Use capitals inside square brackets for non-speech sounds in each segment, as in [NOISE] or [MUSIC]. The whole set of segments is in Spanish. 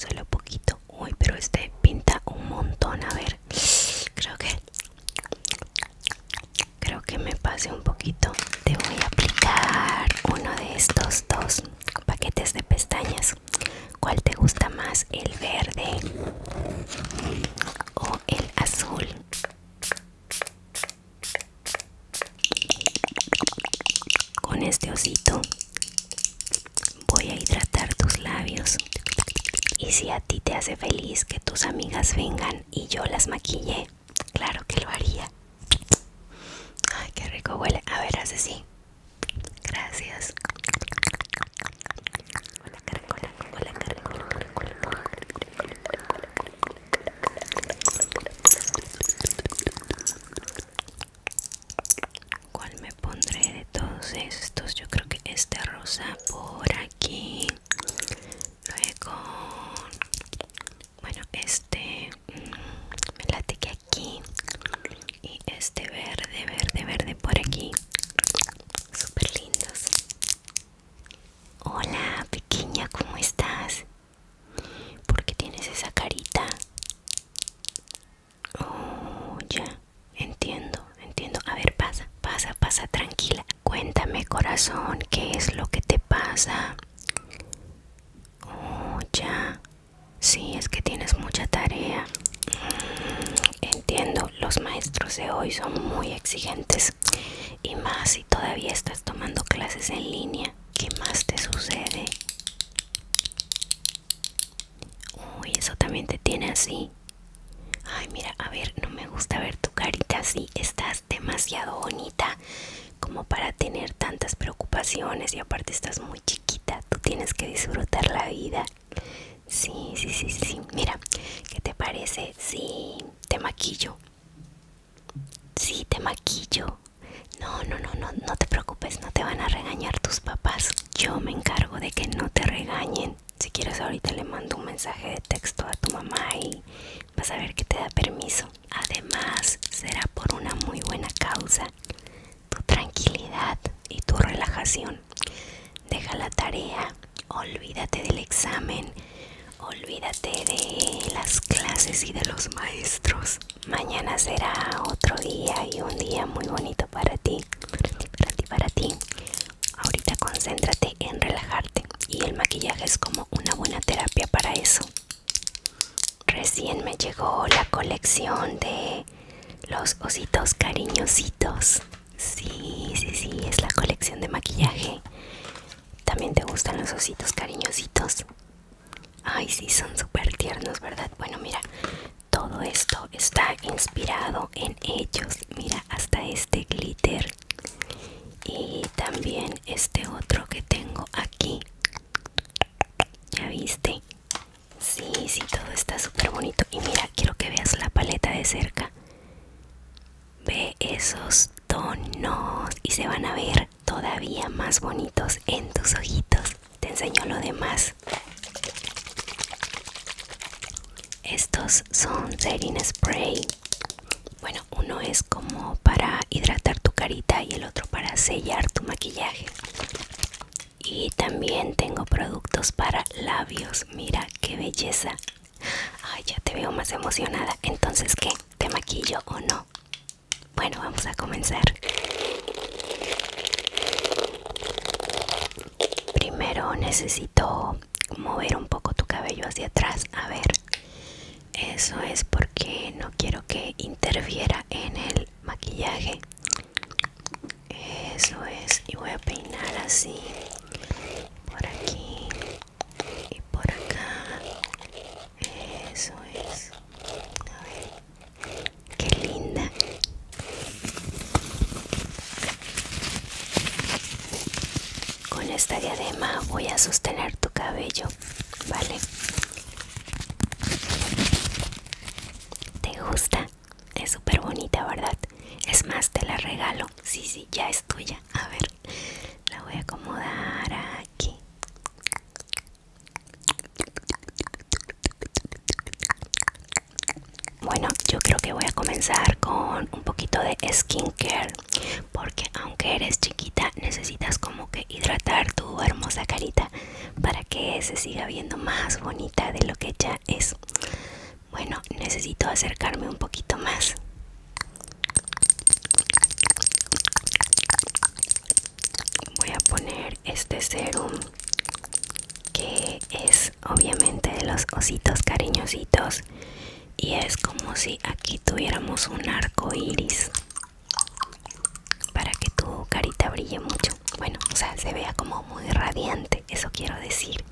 Solo poquito. Uy, pero este pinta un montón. A ver, creo que creo que me pase un poquito. Te voy a aplicar uno de estos dos paquetes de pestañas. ¿Cuál te gusta más, el verde o el azul? Con este osito Voy a hidratar tus labios. Y si a ti te hace feliz que tus amigas vengan y yo las maquille, claro que lo haría. Ay, qué rico huele. A ver, hace así. Gracias. ¿Cuál me pondré de todos estos? Yo creo que este rosa por aquí. Luego, bueno, este mm, me late que aquí. Y este verde, verde, verde por aquí. Súper lindos. Hola, pequeña, ¿cómo estás? ¿Por qué tienes esa carita? Oh, ya. Entiendo, entiendo. A ver, pasa, pasa, pasa, tranquila. Cuéntame, corazón, ¿qué es lo que te pasa? Oh, ya. Sí, es que tienes mucha tarea. Mm, entiendo, los maestros de hoy son muy exigentes. Y más si todavía estás tomando clases en línea. ¿Qué más te sucede? Uy, eso también te tiene así. Ay, mira, a ver, no me gusta ver tu carita así. Estás demasiado bonita como para tener tantas preocupaciones y aparte estás muy chiquita. Tú tienes que disfrutar la vida. Sí, sí, sí, sí. Mira, ¿qué te parece Sí, te maquillo? Sí, te maquillo no. No, no, no, no, te preocupes, no te van a regañar tus papás. Yo me encargo de que no te regañen. Si quieres ahorita le mando un mensaje de texto a tu mamá y vas a ver que te da permiso. Además, será por una muy buena causa. Tu tranquilidad y tu relajación. Deja la tarea, olvídate del examen, olvídate de las clases y de los maestros. Mañana será otro día y un día muy bonito para ti, para ti, para ti, Ahorita concéntrate en relajarte y el maquillaje es como una buena terapia para eso. Recién me llegó la colección de los ositos cariñositos. Sí, sí, sí, es la colección de maquillaje. ¿También te gustan los ositos cariñositos? Ay, sí, son súper tiernos, ¿verdad? Bueno, mira, todo esto está inspirado en ellos. Mira, hasta este glitter. Y también este otro que tengo aquí. ¿Ya viste? Sí, sí, todo está súper bonito. Y mira, quiero que veas la paleta de cerca. Ve esos tonos y se van a ver todavía más bonitos en tus ojitos. Te enseño lo demás. Estos son setting spray. Bueno, uno es como para hidratar tu carita y el otro para sellar tu maquillaje. Y también tengo productos para labios. Mira qué belleza. Ay, ya te veo más emocionada. Entonces, ¿qué? ¿Te maquillo o no? Bueno, vamos a comenzar. Primero necesito mover un poco tu cabello hacia atrás. A ver, eso es porque no quiero que interfiera en el maquillaje. Eso es. Y voy a peinar así. Por aquí. Y por acá. Eso es. A ver. Qué linda. Con esta diadema voy a sostener tu cabello, ¿vale? ¿Te gusta? Es súper bonita, ¿verdad? Es más, te la regalo. Sí, sí, ya es tuya. A ver, la voy a acomodar aquí. Bueno, yo creo que voy a comenzar con un poquito de skincare, porque aunque eres chiquita, necesitas como que hidratar tu hermosa carita para que se siga viendo más bonita de lo que ya es. Bueno, necesito acercarme un poquito más voy a poner este serum que es obviamente de los ositos cariñositos y es como si aquí tuviéramos un arco iris para que tu carita brille mucho bueno o sea se vea como muy radiante eso quiero decir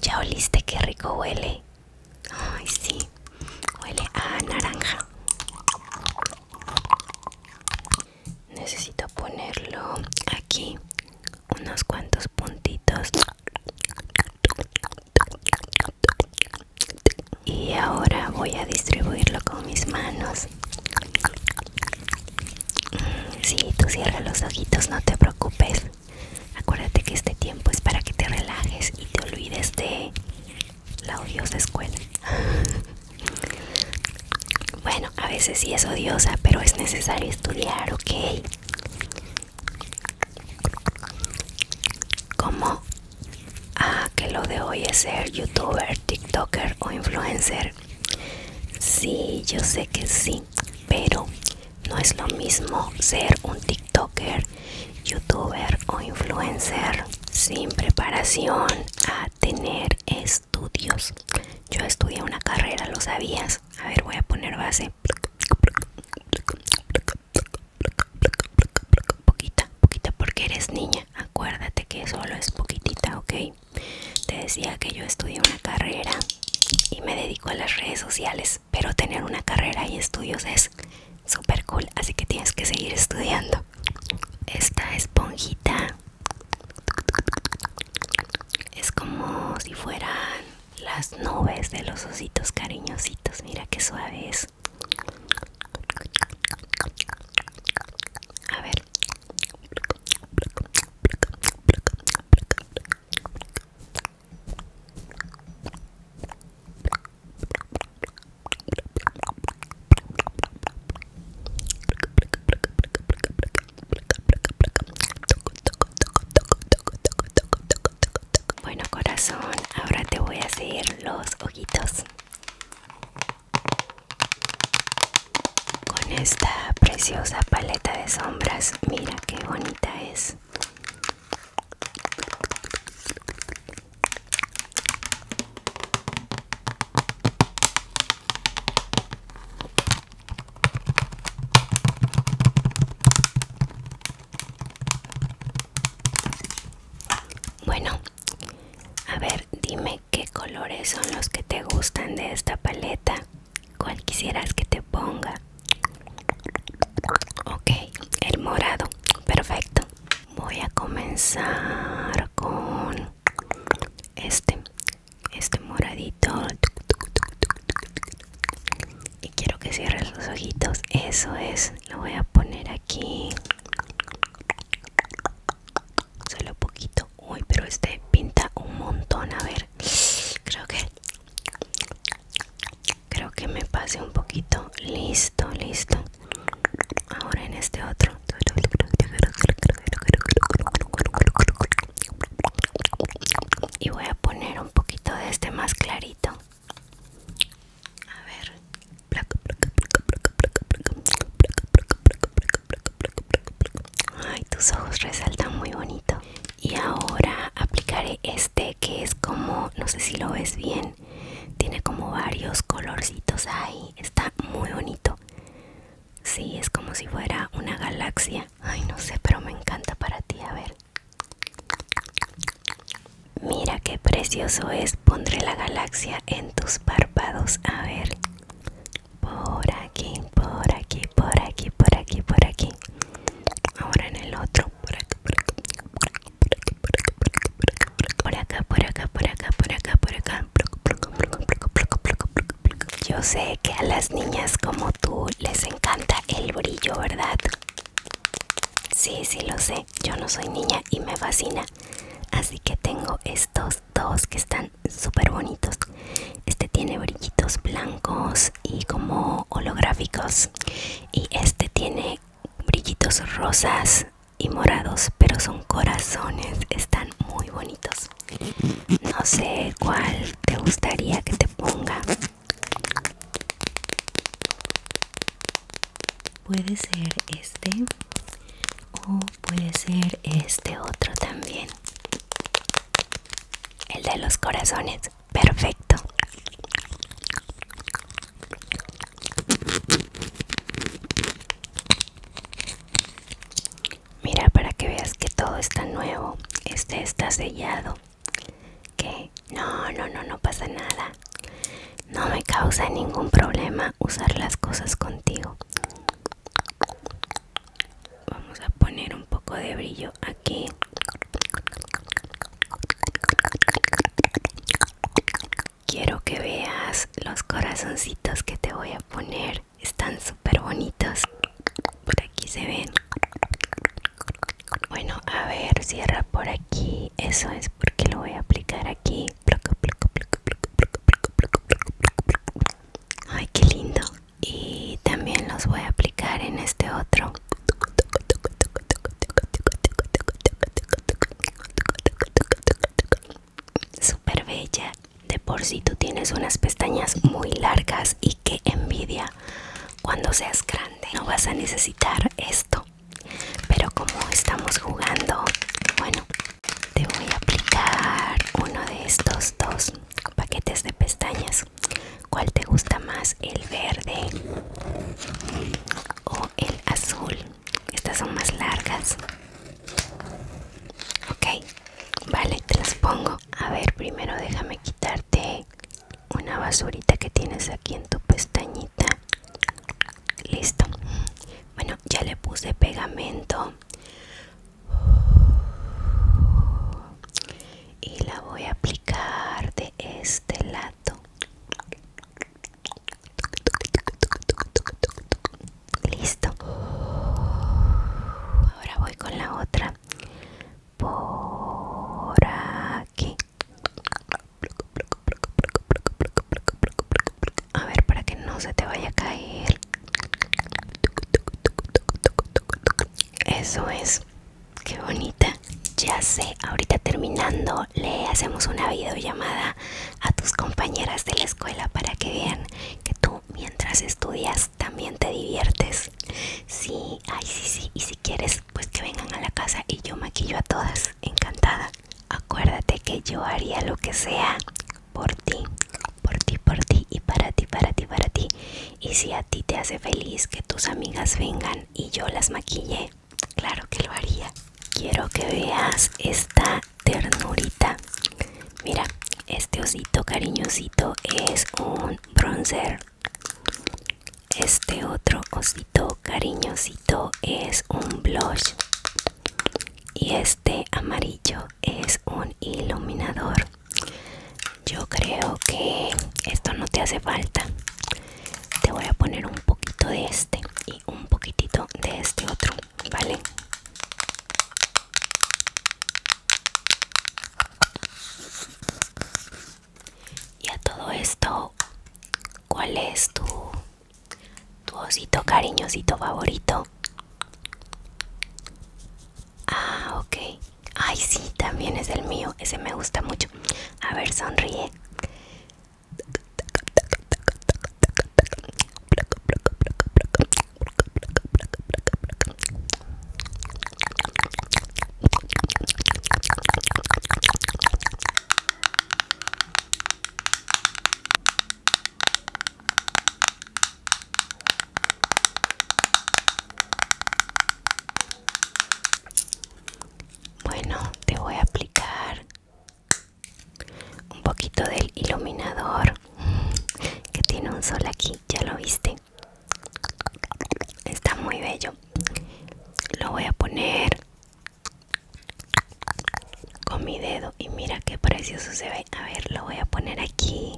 ya oliste que rico huele ay sí Huele a naranja. Necesito ponerlo aquí unos cuantos puntitos. Y ahora voy a distribuirlo con mis manos. Si mm, sí, tú cierra los ojitos, no te preocupes. Acuérdate que este tiempo es para que te relajes y te olvides de la odiosa escuela. [LAUGHS] bueno, a veces sí es odiosa, pero es necesario estudiar, ¿ok? Como ah, que lo de hoy es ser youtuber, tiktoker o influencer. Sí, yo sé que sí, pero no es lo mismo ser un tiktoker youtuber o influencer sin preparación a tener estudios. Yo estudié una carrera, ¿lo sabías? A ver, voy a poner base. Poquita, poquita, porque eres niña. Acuérdate que solo es poquitita, ¿ok? Te decía que yo estudié una carrera y me dedico a las redes sociales, pero tener una carrera y estudios es super cool así que tienes que seguir estudiando esta esponjita es como si fueran las nubes de los ositos cariñositos mira qué suave es a ver bueno corazón, ahora te voy a hacer los ojitos con esta preciosa paleta de sombras. Mira qué bonita es. Bueno, a ver, dime qué colores son los que te gustan de esta paleta. ¿Cuál quisieras que te ponga? Ok, el morado, perfecto voy a comenzar con este este moradito y quiero que cierres los ojitos eso es lo voy a poner aquí solo poquito uy pero este pinta un montón a ver creo que creo que me pase un poquito listo listo ahora en este otro y voy a poner un poquito de este más clarito a ver ay tus ojos resaltan muy bonito y ahora aplicaré este que es como no sé si lo ves bien tiene como varios colorcitos ahí está muy bonito sí es como si fuera una galaxia ay no sé pero me encanta para ti a ver mira qué precioso es pondré la galaxia en tus párpados a ver por aquí por aquí por aquí por aquí por aquí ahora en el otro por aquí, por aquí. Por acá, por acá, por acá, por acá, por acá. Yo sé que a las niñas como tú les encanta el brillo, ¿verdad? Sí, sí lo sé. Yo no soy niña y me fascina. Así que tengo estos dos que están súper bonitos. Este tiene brillitos blancos y como holográficos. Y este tiene brillitos rosas y morados, pero son corazones, están muy bonitos. No sé cuál te gustaría que te ponga. Puede ser este o puede ser este otro también. El de los corazones. Perfecto. Mira para que veas que todo está nuevo. Este está sellado. Que no, no, no, no pasa nada. No me causa ningún problema usar las cosas contigo. Vamos a poner un poco de brillo aquí quiero que veas los corazoncitos que te voy a poner. Están súper bonitos. Por aquí se ven. Bueno, a ver, cierra por aquí. Eso es porque lo voy a aplicar aquí. Ay, qué lindo. Y también los voy a aplicar en este otro. Super bella. De por si tú tienes unas pestañas muy largas y que envidia. Cuando seas grande no vas a necesitar esto. Pero como estamos jugando, bueno, te voy a aplicar uno de estos dos paquetes de pestañas. ¿Cuál te gusta más? ¿El verde o el azul estas son más largas ok vale te las pongo a ver primero déjame quitarte una basurita que tienes aquí en tu pestañita listo bueno ya le puse pegamento y la voy a aplicar de este lado Listo. Ahora voy con la otra. Por aquí. A ver, para que no se te vaya a caer. Eso es. Qué bonita. Ya sé, ahorita terminando le hacemos una videollamada a tus compañeras de la escuela para que vean que tú mientras estudias también te diviertes. Sí, ay, sí, sí. Y si quieres, pues que vengan a la casa y yo maquillo a todas. Encantada. Acuérdate que yo haría lo que sea por ti, por ti, por ti y para ti, para ti, para ti. Y si a ti te hace feliz que tus amigas vengan y yo las maquille, claro que lo haría. Quiero que veas esta ternurita. Mira, este osito cariñosito es un bronzer. Este otro osito cariñosito es un blush. Y este amarillo es un iluminador. Yo creo que esto no te hace falta. Te voy a poner un poquito de este un poquitito de este otro, ¿vale? Y a todo esto, ¿cuál es tu, tu osito cariñosito favorito? Ah, ok. Ay, sí, también es el mío. Ese me gusta mucho. A ver, sonríe. Bueno, te voy a aplicar un poquito del iluminador que tiene un sol aquí ya lo viste está muy bello lo voy a poner con mi dedo y mira qué precioso se ve a ver lo voy a poner aquí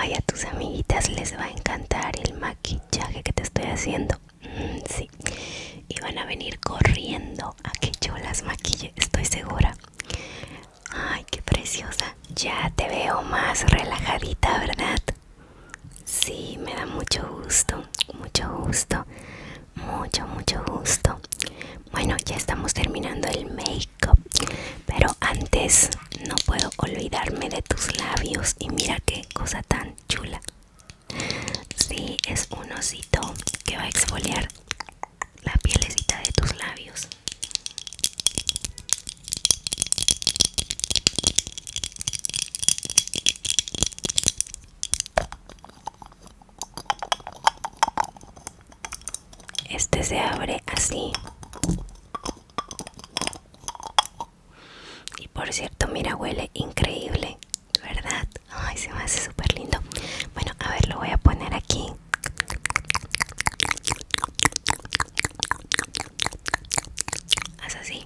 a tus amiguitas les va a encantar el maquillaje que te estoy haciendo Sí. Y van a venir corriendo a que yo las maquille, estoy segura. Ay, qué preciosa. Ya te veo más relajadita, ¿verdad? Sí, me da mucho gusto, mucho gusto, mucho, mucho gusto. Bueno, ya estamos terminando el make-up, pero antes no puedo olvidarme de tus labios y mira qué cosa tan chula. Sí, es un osito que va a exfoliar la pielecita de tus labios. Este se abre así. Y por cierto, mira, huele increíble. ¿Verdad? Ay, se me hace súper lindo. Bueno, a ver, lo voy a poner aquí. Haz así.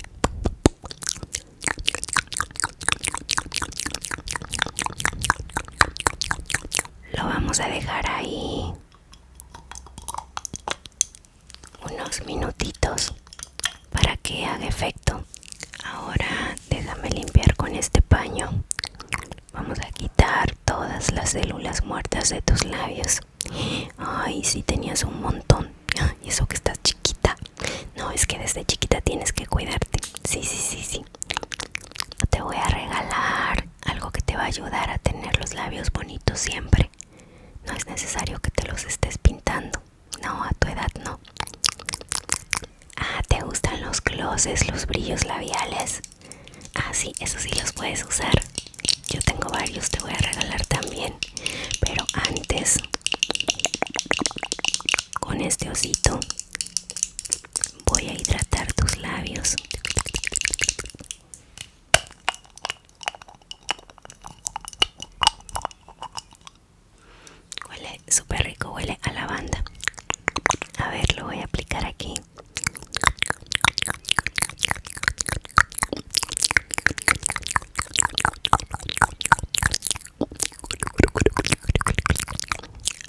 Lo vamos a dejar ahí unos minutitos para que haga efecto ahora déjame limpiar con este paño vamos a quitar todas las células muertas de tus labios ay si tenías un montón ah, y eso que estás chiquita no es que desde chiquita tienes que cuidarte sí sí sí sí te voy a regalar algo que te va a ayudar a tener los labios bonitos siempre no es necesario que te los estés pintando no, a tu edad no. Ah, ¿te gustan los glosses, los brillos labiales? Ah, sí, eso sí los puedes usar. Yo tengo varios, te voy a regalar también. Pero antes, con este osito, voy a hidratar tus labios. Huele super rico, huele a lavanda. A ver, lo voy a aplicar aquí.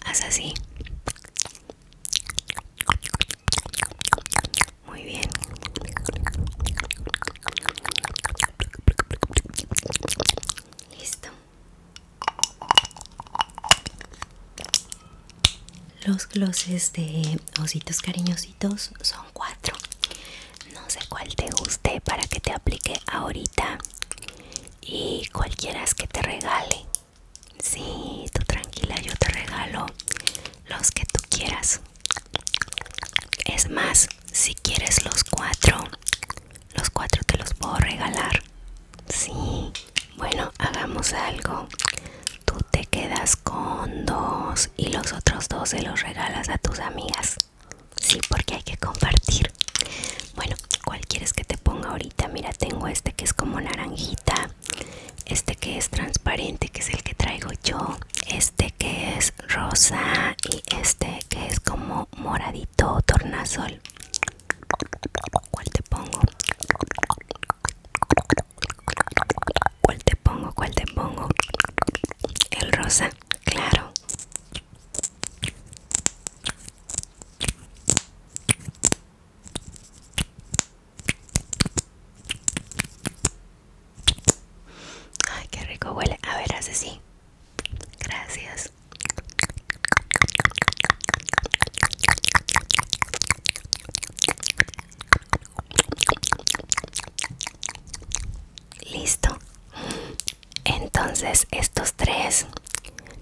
Haz así. Muy bien. Listo. Los glosses de ositos cariñositos son cuatro. No sé cuál te guste para que te aplique ahorita y cualquiera que te regale. Sí, tú tranquila, yo te regalo los que tú quieras. Es más, si quieres los cuatro, los cuatro te los puedo regalar. Sí. Bueno, hagamos algo. Tú te quedas con dos y los otros dos se los regalas a tus amigas. Sí, porque hay que compartir. Bueno, ¿cuál quieres que te ponga ahorita? Mira, tengo este que es como naranjita. Este que es transparente, que es el que traigo yo. Este que es rosa y este que es como moradito todo tornasol. ¿Cuál te pongo? ¿Cuál te pongo? ¿Cuál te pongo? El rosa, claro. Ay, qué rico huele. A ver, hace así. Gracias. Listo. Entonces estos tres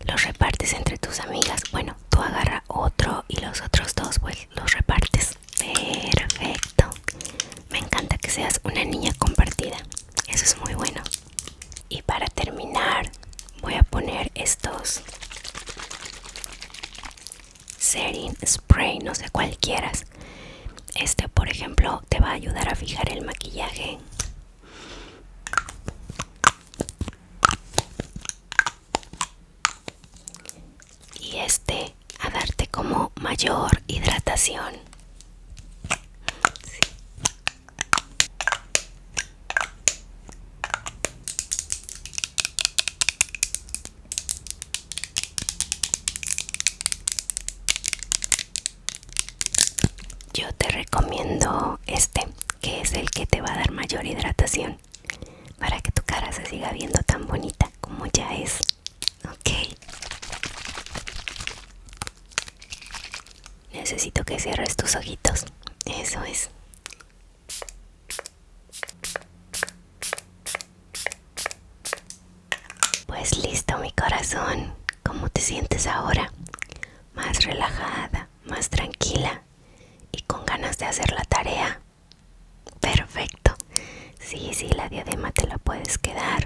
los repartes entre tus amigas. Bueno, tú agarra otro y los otros dos pues, los repartes. Perfecto. Me encanta que seas una niña compartida eso es muy bueno y para terminar voy a poner estos setting spray no sé cualquiera este por ejemplo te va a ayudar a fijar el maquillaje y este a darte como mayor hidratación yo te recomiendo este, que es el que te va a dar mayor hidratación para que tu cara se siga viendo tan bonita como ya es. Ok. Necesito que cierres tus ojitos. Eso es. Pues listo mi corazón. ¿Cómo te sientes ahora? Más relajada, más tranquila y con ganas de hacer la tarea. Perfecto. Sí, sí, la diadema te la puedes quedar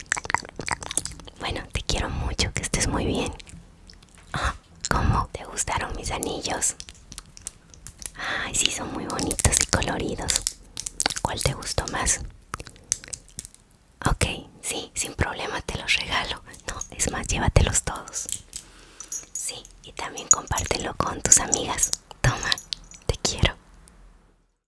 bueno, te quiero mucho, que estés muy bien. Ah, ¿Cómo te gustaron mis anillos? Ay, sí, son muy bonitos y coloridos. ¿Cuál te gustó más? Ok, sí, sin problema te los regalo. No, es más, llévatelos todos. Sí, y también compártelo con tus amigas. Toma, te quiero.